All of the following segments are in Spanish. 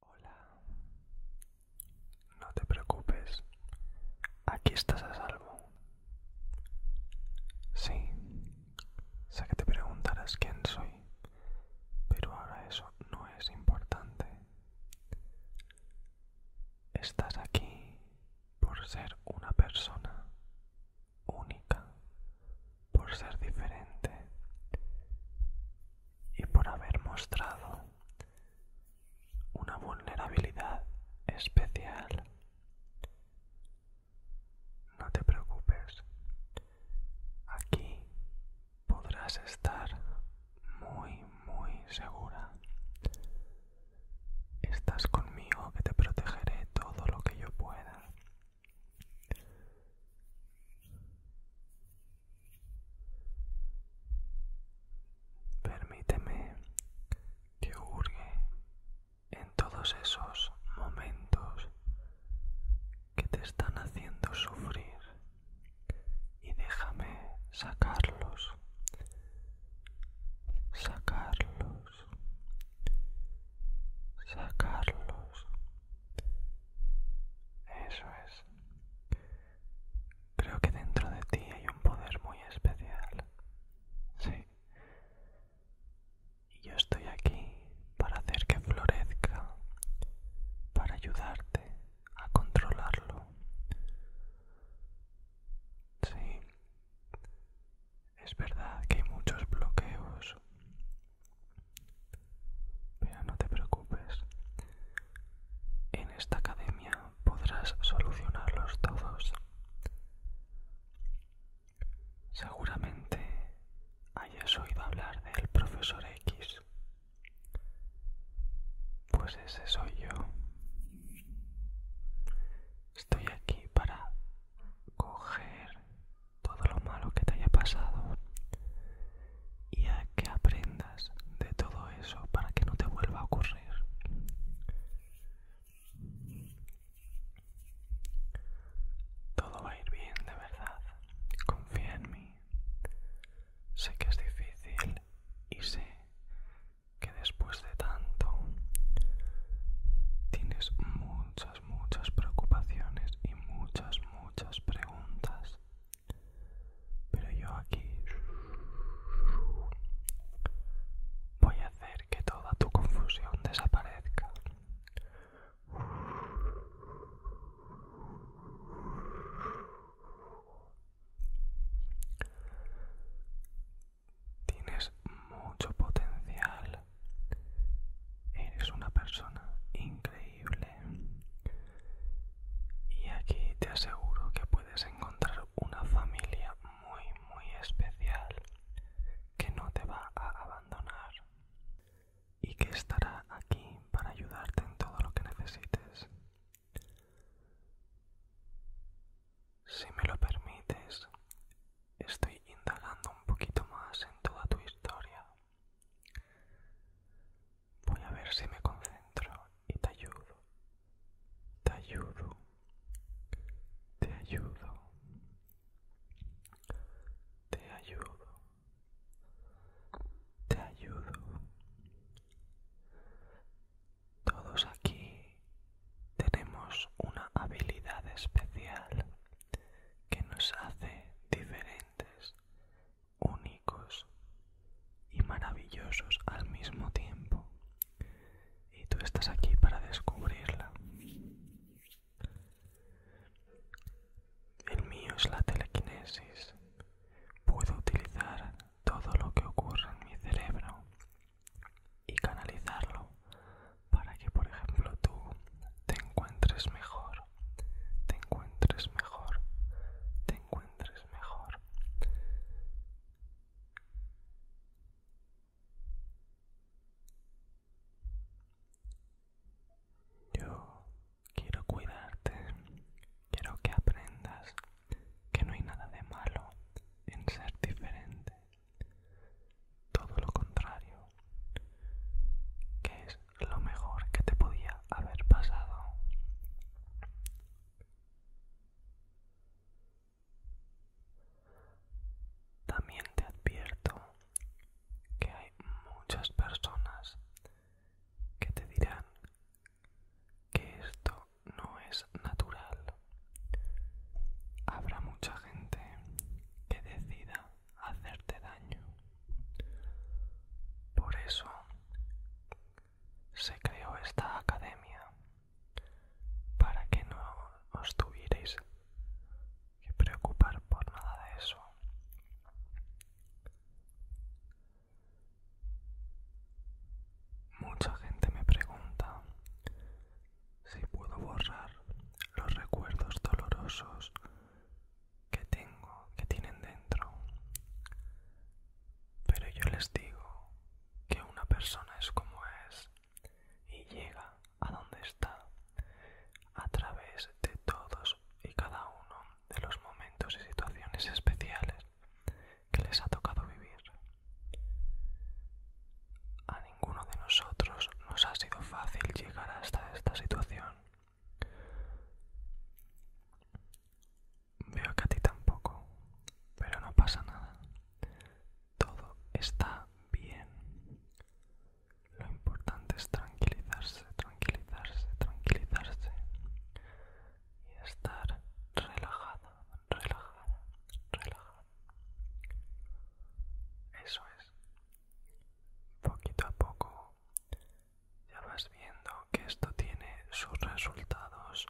Hola, no te preocupes, aquí estás a salvo. Sí, sé que te preguntarás quién soy, pero ahora eso no es importante. Estás aquí por ser una persona única, por ser diferente y por haber mostrado una vulnerabilidad especial. No te preocupes, aquí podrás estar muy, muy segura. Estás conmigo que te protegeré todo lo que yo pueda Permíteme que hurgue en todos esos momentos que te están haciendo sufrir y déjame sacarlos, sacarlos, sacarlos eso es. Creo que dentro de ti hay un poder muy especial. Sí. Y yo estoy aquí para hacer que florezca, para ayudarte a controlarlo. Sí. Es verdad que hay muchos bloqueos pero no te preocupes. En esta academia podrás solucionarlos todos. Seguramente hayas oído hablar del profesor X. Pues ese soy yo. Estoy aquí para coger todo lo malo que te haya pasado y a que aprendas de todo eso para que no te vuelva a ocurrir. Todo va a ir bien, de verdad. Confía en mí. Sé que es difícil y sé que después de tanto tienes muchas muchas, preocupaciones y muchas, muchas preguntas. Pero yo aquí voy a hacer que toda tu confusión desaparezca. Tienes mucho potencial Eres una persona increíble. Y aquí te aseguro que puedes encontrar una familia muy, muy especial que no te va a abandonar y que estará aquí para ayudarte en todo lo que necesites. Si me lo permites, estoy indagando un poquito más en toda tu historia Voy a ver si me concentro y te ayudo. Te ayudo. Te ayudo. Te ayudo. Te ayudo. Todos aquí tenemos una habilidad especial que nos hace diferentes, únicos y maravillosos al mismo tiempo. Y tú estás aquí para descubrirla. El mío es la telequinesis. Puedo utilizar todo lo que ocurre en mi cerebro y canalizarlo para que por ejemplo tú te encuentres mejor, te encuentres mejor, te encuentres mejor. Yo quiero cuidarte, quiero que aprendas que no hay nada de malo en ser diferente todo lo contrario, que es lo mejor que te podía haber pasado. También te advierto que hay muchas personas que te dirán que esto no es natural. Habrá mucha gente que decida hacerte daño. Por eso se creó esta academia para que no os tuvierais que preocupar por nada de eso. Mucha gente me pregunta si puedo borrar los recuerdos dolorosos que tengo, que tienen dentro. Pero yo les digo que una persona es como es y llega a donde está a través de todos y cada uno de los momentos y situaciones especiales que les ha tocado vivir ninguno de nosotros nos ha sido fácil llegar hasta esta situación. Veo que a ti tampoco, pero no pasa nada. Todo está bien. Lo importante es tranquilizarse, tranquilizarse, tranquilizarse y estar relajada, relajada, relajada. Eso es. Poquito a poco ya vas viendo que esto tiene sus resultados.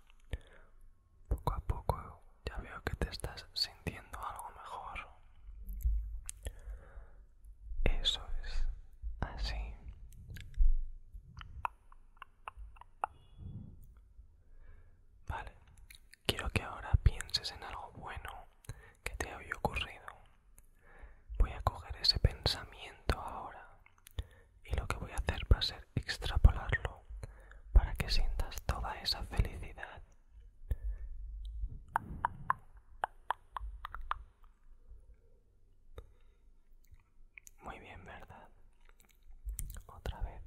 Poco a poco ya veo que te estás sintiendo algo mejor. Eso es. Así. Vale, Quiero que ahora pienses en algo bueno que te haya ocurrido. Voy a coger ese pensamiento ahora y lo que voy a hacer va a ser extrapolarlo para que sientas toda esa felicidad. Muy bien, ¿verdad? Otra vez.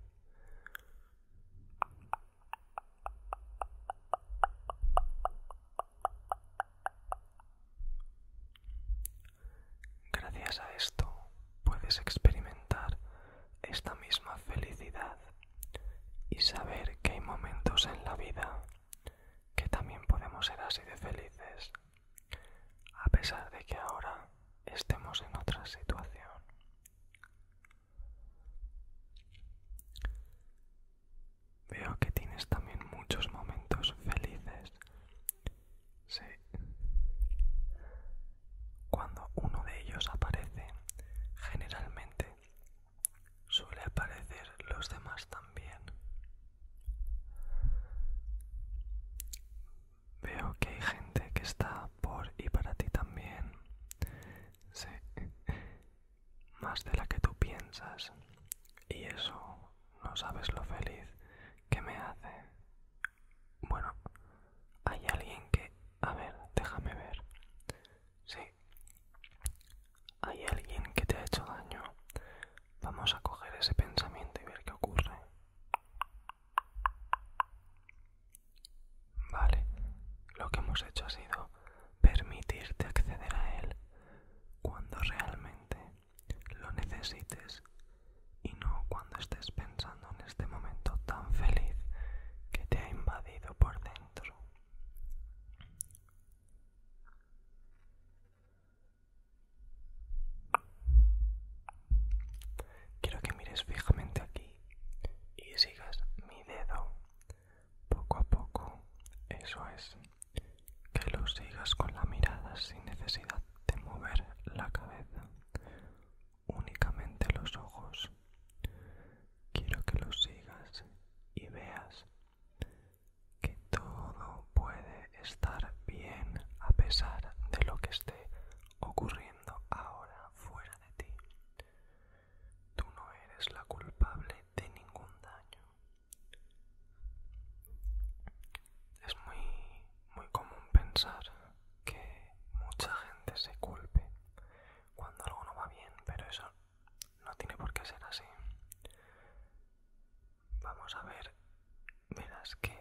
Gracias a esto puedes experimentar esta misma felicidad y saber que hay momentos en la vida que también podemos ser así de felices, a pesar de que ahora estemos en otra situación. Veo que tienes también muchos momentos felices. Sí. Cuando uno de ellos aparece, generalmente suele aparecer los demás también. Veo que hay gente que está por y para ti también. Sí, más de la que tú piensas. Y eso no sabes lo feliz que me hace. Bueno, hay alguien que... A ver, déjame ver. Sí. Hay alguien que te ha hecho daño. Vamos a coger ese pensamiento y ver qué ocurre. Vale, lo que hemos hecho ha sido permitirte acceder a él cuando realmente lo necesites y no cuando estés pensando en este momento tan feliz que te ha invadido por dentro quiero que mires fijamente aquí y sigas mi dedo poco a poco, eso es, que lo sigas con la mirada sin necesidad de mover la cabeza, únicamente los ojos. Quiero que lo sigas y veas que todo puede estar bien a pesar de lo que esté ocurriendo ahora fuera de ti. Tú no eres la culpable de ningún daño. Es muy, muy común pensar que mucha gente se culpe cuando algo no va bien, pero eso no tiene por qué ser así. Vamos a ver, verás que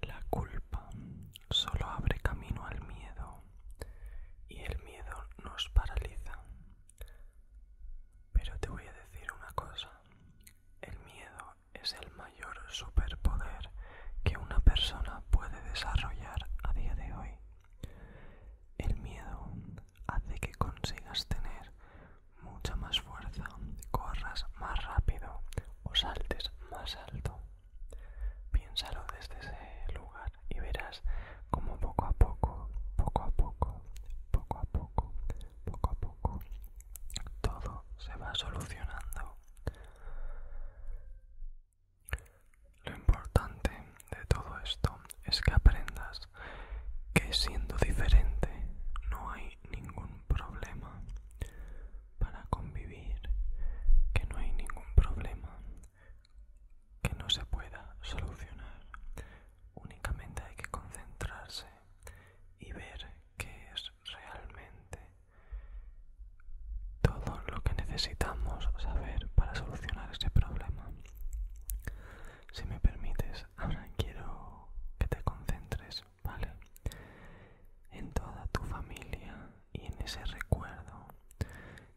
La culpa solo abre camino al miedo y el miedo nos paraliza. Pero te voy a decir una cosa, el miedo es el mayor superpoder que una persona puede desarrollar a día de hoy. El miedo hace que consigas tener mucha más fuerza, corras más rápido o saltes más alto. Piénsalo desde ese lugar y verás como poco a poco, poco a poco, poco a poco, poco a poco, todo se va solucionando. Lo importante de todo esto es que aprendas que siendo diferente no hay ningún problema para convivir, que no hay ningún problema que no se pueda solucionar. Únicamente hay que concentrarse y ver qué es realmente todo lo que necesitamos saber para solucionar este problema. Si me permites, ahora quiero que te concentres ¿vale? En toda tu familia y en ese recuerdo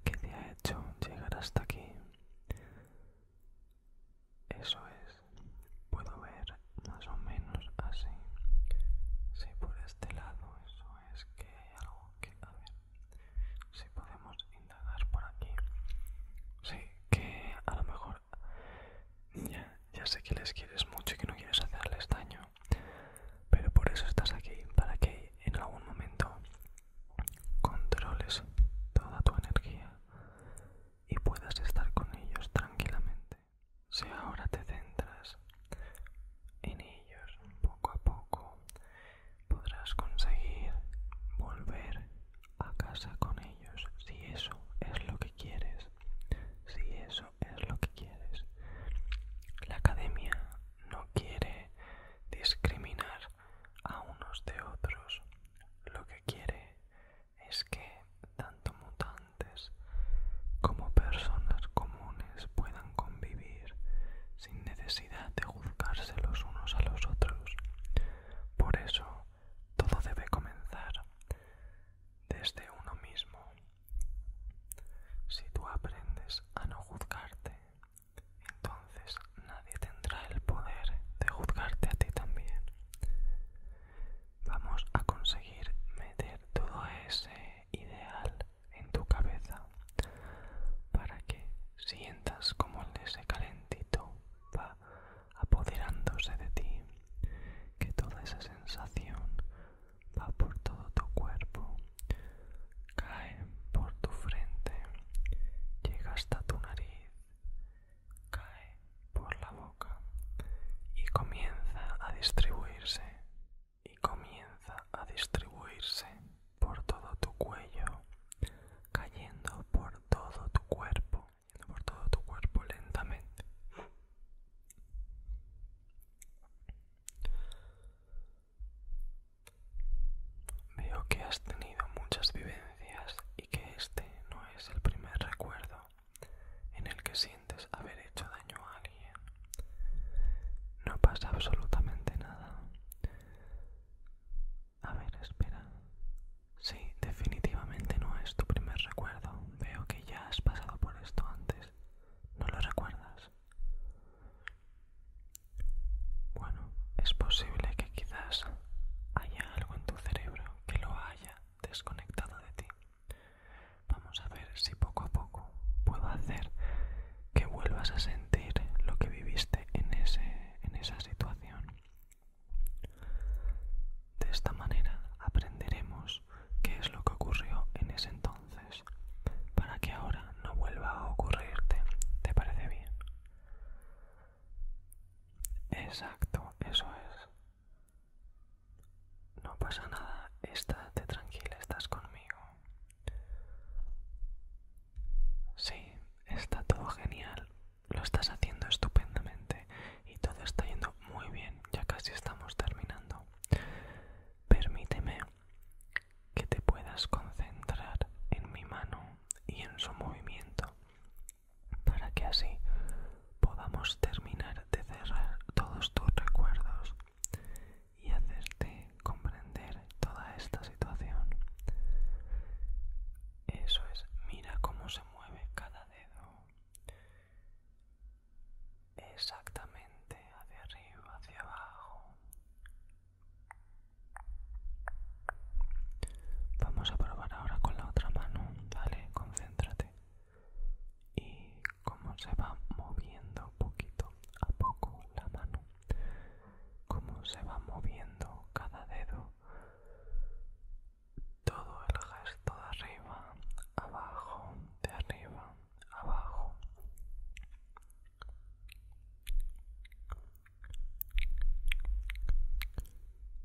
que te ha hecho llegar hasta aquí. Eso es, puedo ver más o menos así. Si por este lado, eso es que hay algo que... A ver, si podemos indagar por aquí. Sí, que a lo mejor ya sé que les quieres mucho y que no quieres hacerles daño, pero por eso estás aquí, para que en algún momento controles toda tu energía y puedas estar con ellos tranquilamente. Si ahora te centras en ellos poco a poco, podrás conseguir volver a casa con ellos si eso es lo que quieres si eso es lo que quieres. La academia no quiere discriminar a unos de otros. Lo que quiere es que tanto mutantes como personas comunes puedan convivir sin necesidad de juzgarse los unos a los otros. Por eso todo debe comenzar desde uno mismo. Si tú aprendes a no juzgarte, entonces nadie tendrá el poder de juzgarte a ti también. Vamos a conseguir meter todo ese ideal en tu cabeza para que sientas como el de ese calentito va apoderándose de ti, que toda esa sensación va por todo tu cuerpo, cae por tu frente, llega hasta tu nariz, cae por la boca y comienza a distribuirse y comienza a distribuirse por todo tu cuello, cayendo por todo tu cuerpo por todo tu cuerpo lentamente. Veo que has tenido muchas vivencias y que este no es el primer recuerdo en el que sientes haber hecho daño a alguien. No pasa absolutamente nada. A ver, espera. Sí, definitivamente no es tu primer recuerdo. Veo que ya has pasado por esto antes. ¿No lo recuerdas? Bueno, es posible que quizás haya algo en tu cerebro que lo haya desconectado de ti. Vamos a ver si poco a poco puedo hacer que vuelvas a sentir lo que viviste en, ese, en esa situación. De esta manera aprenderemos qué es lo que ocurrió en ese entonces para que ahora no vuelva a ocurrirte. ¿Te parece bien? Exacto, eso es. No pasa nada, estate tranquila, estás conmigo. Sí, está todo genial lo estás haciendo estupendamente y todo está yendo muy bien, ya casi estamos terminando. Permíteme que te puedas concentrar en mi mano y en su movimiento para que así podamos terminar de cerrar todos tus recuerdos y hacerte comprender toda esta situación. Eso es, mira cómo se mueve cada dedo exactamente hacia arriba, hacia abajo. Vamos a probar ahora con la otra mano, ¿vale? Concéntrate. Y cómo se va moviendo poquito a poco la mano, cómo se va moviendo cada dedo todo el gesto de arriba, abajo, de arriba, abajo.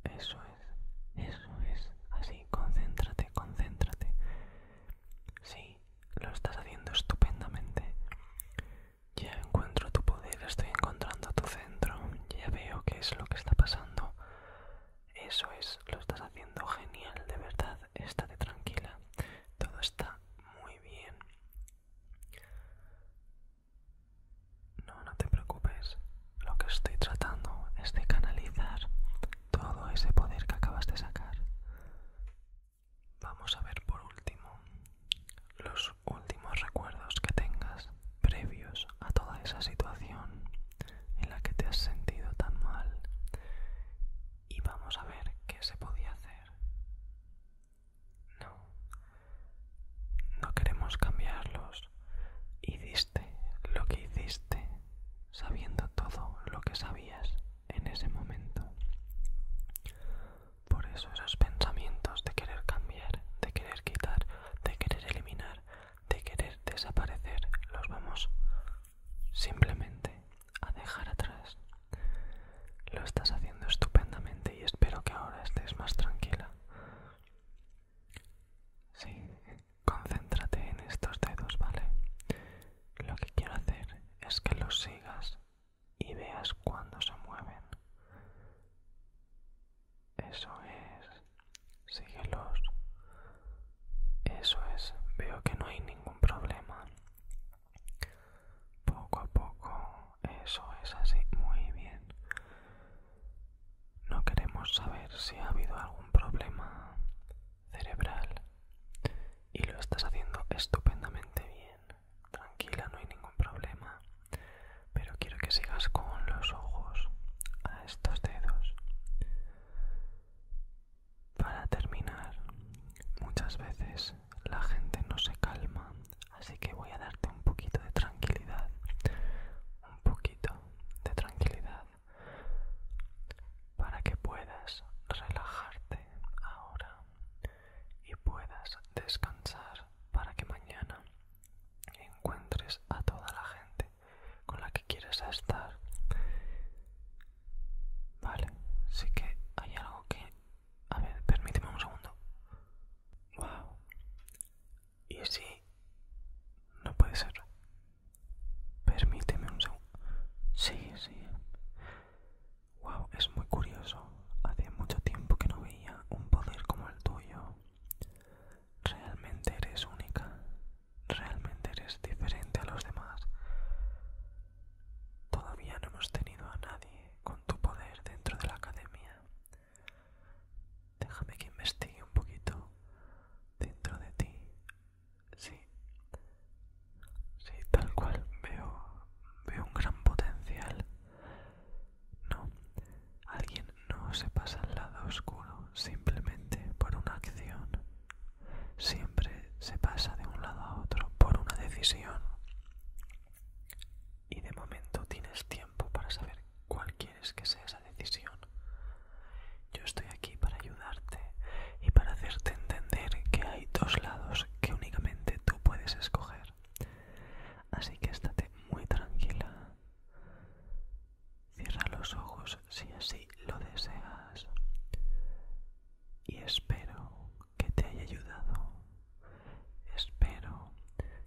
Eso es, eso es, así, concéntrate, concéntrate. Sí, lo estás haciendo estupendamente. Ya encuentro tu poder, estoy encontrando tu centro, ya veo qué es lo que está pasando. Eso es, lo estás haciendo genial, de verdad, estate tranquila, todo está muy bien. No, no te preocupes, lo que estoy tratando es de canalizar todo ese poder que acabas de sacar. Vamos a ver por último los últimos recuerdos que tengas previos a toda esa situación en la que te has sentido tan mal y vamos a ver qué se podía hacer. No, no queremos cambiarlos. Hiciste lo que hiciste sabiendo todo lo que sabías en ese momento. Por eso esos pensamientos de querer cambiar, de querer quitar, de querer eliminar, de querer desaparecer, los vamos simplemente a dejar atrás. Lo estás haciendo estupendamente y espero que ahora estés más tranquila. Sí, concéntrate en estos dedos, ¿vale? Lo que quiero hacer es que los sigas y veas cuando se mueven. Eso es, síguelos. Eso es, veo que no hay ningún problema. Poco a poco, eso es así, muy bien. No queremos saber si ha habido algún problema cerebral y lo estás haciendo estupendamente bien tranquila, no hay ningún problema. Pero quiero que sigas con los ojos a estos dedos. Para terminar, muchas veces la gente no se calma, así que voy a darte un poquito de tranquilidad. Un poquito de tranquilidad para que puedas relajarte ahora y puedas descansar para que mañana encuentres a toda la gente con la que quieres estar. Vale, sí que hay algo que... A ver, permíteme un segundo. Wow. ¿Y si... No puede ser. Permíteme un segundo. Sí, sí. Wow, es muy curioso. Hace mucho tiempo que no veía un poder como el tuyo. Realmente eres única. Realmente eres diferente a los demás. Todavía no hemos tenido a nadie con tu poder dentro de la academia. Déjame que investigue un poquito dentro de ti. Sí. Sí, tal cual veo veo un gran potencial no, alguien no se pasa al lado oscuro simplemente por una acción. Siempre se pasa de un lado a otro por una decisión. Y de momento tienes tiempo para saber cuál quieres que sea esa decisión. Yo estoy aquí para ayudarte y para hacerte entender que hay dos lados que únicamente tú puedes escoger Así que estate muy tranquila. Cierra los ojos si así lo deseas. Y espero que te haya ayudado. Espero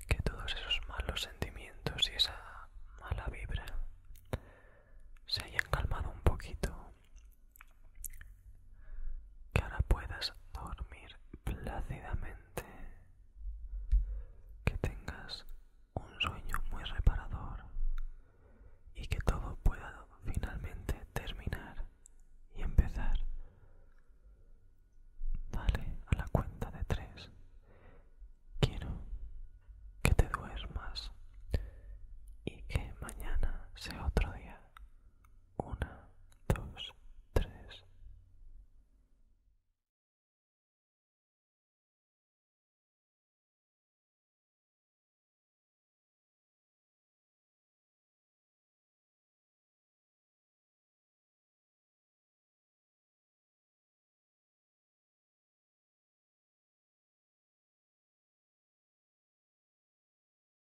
que todos esos malos sentimientos y esa mala vibra se hayan calmado un poquito. Que ahora puedas dormir plácidamente. Que tengas un sueño muy reparador y que todo pueda finalmente terminar y empezar. Dale a la cuenta de tres. Quiero que te duermas y que mañana sea otro día. Una, dos, tres.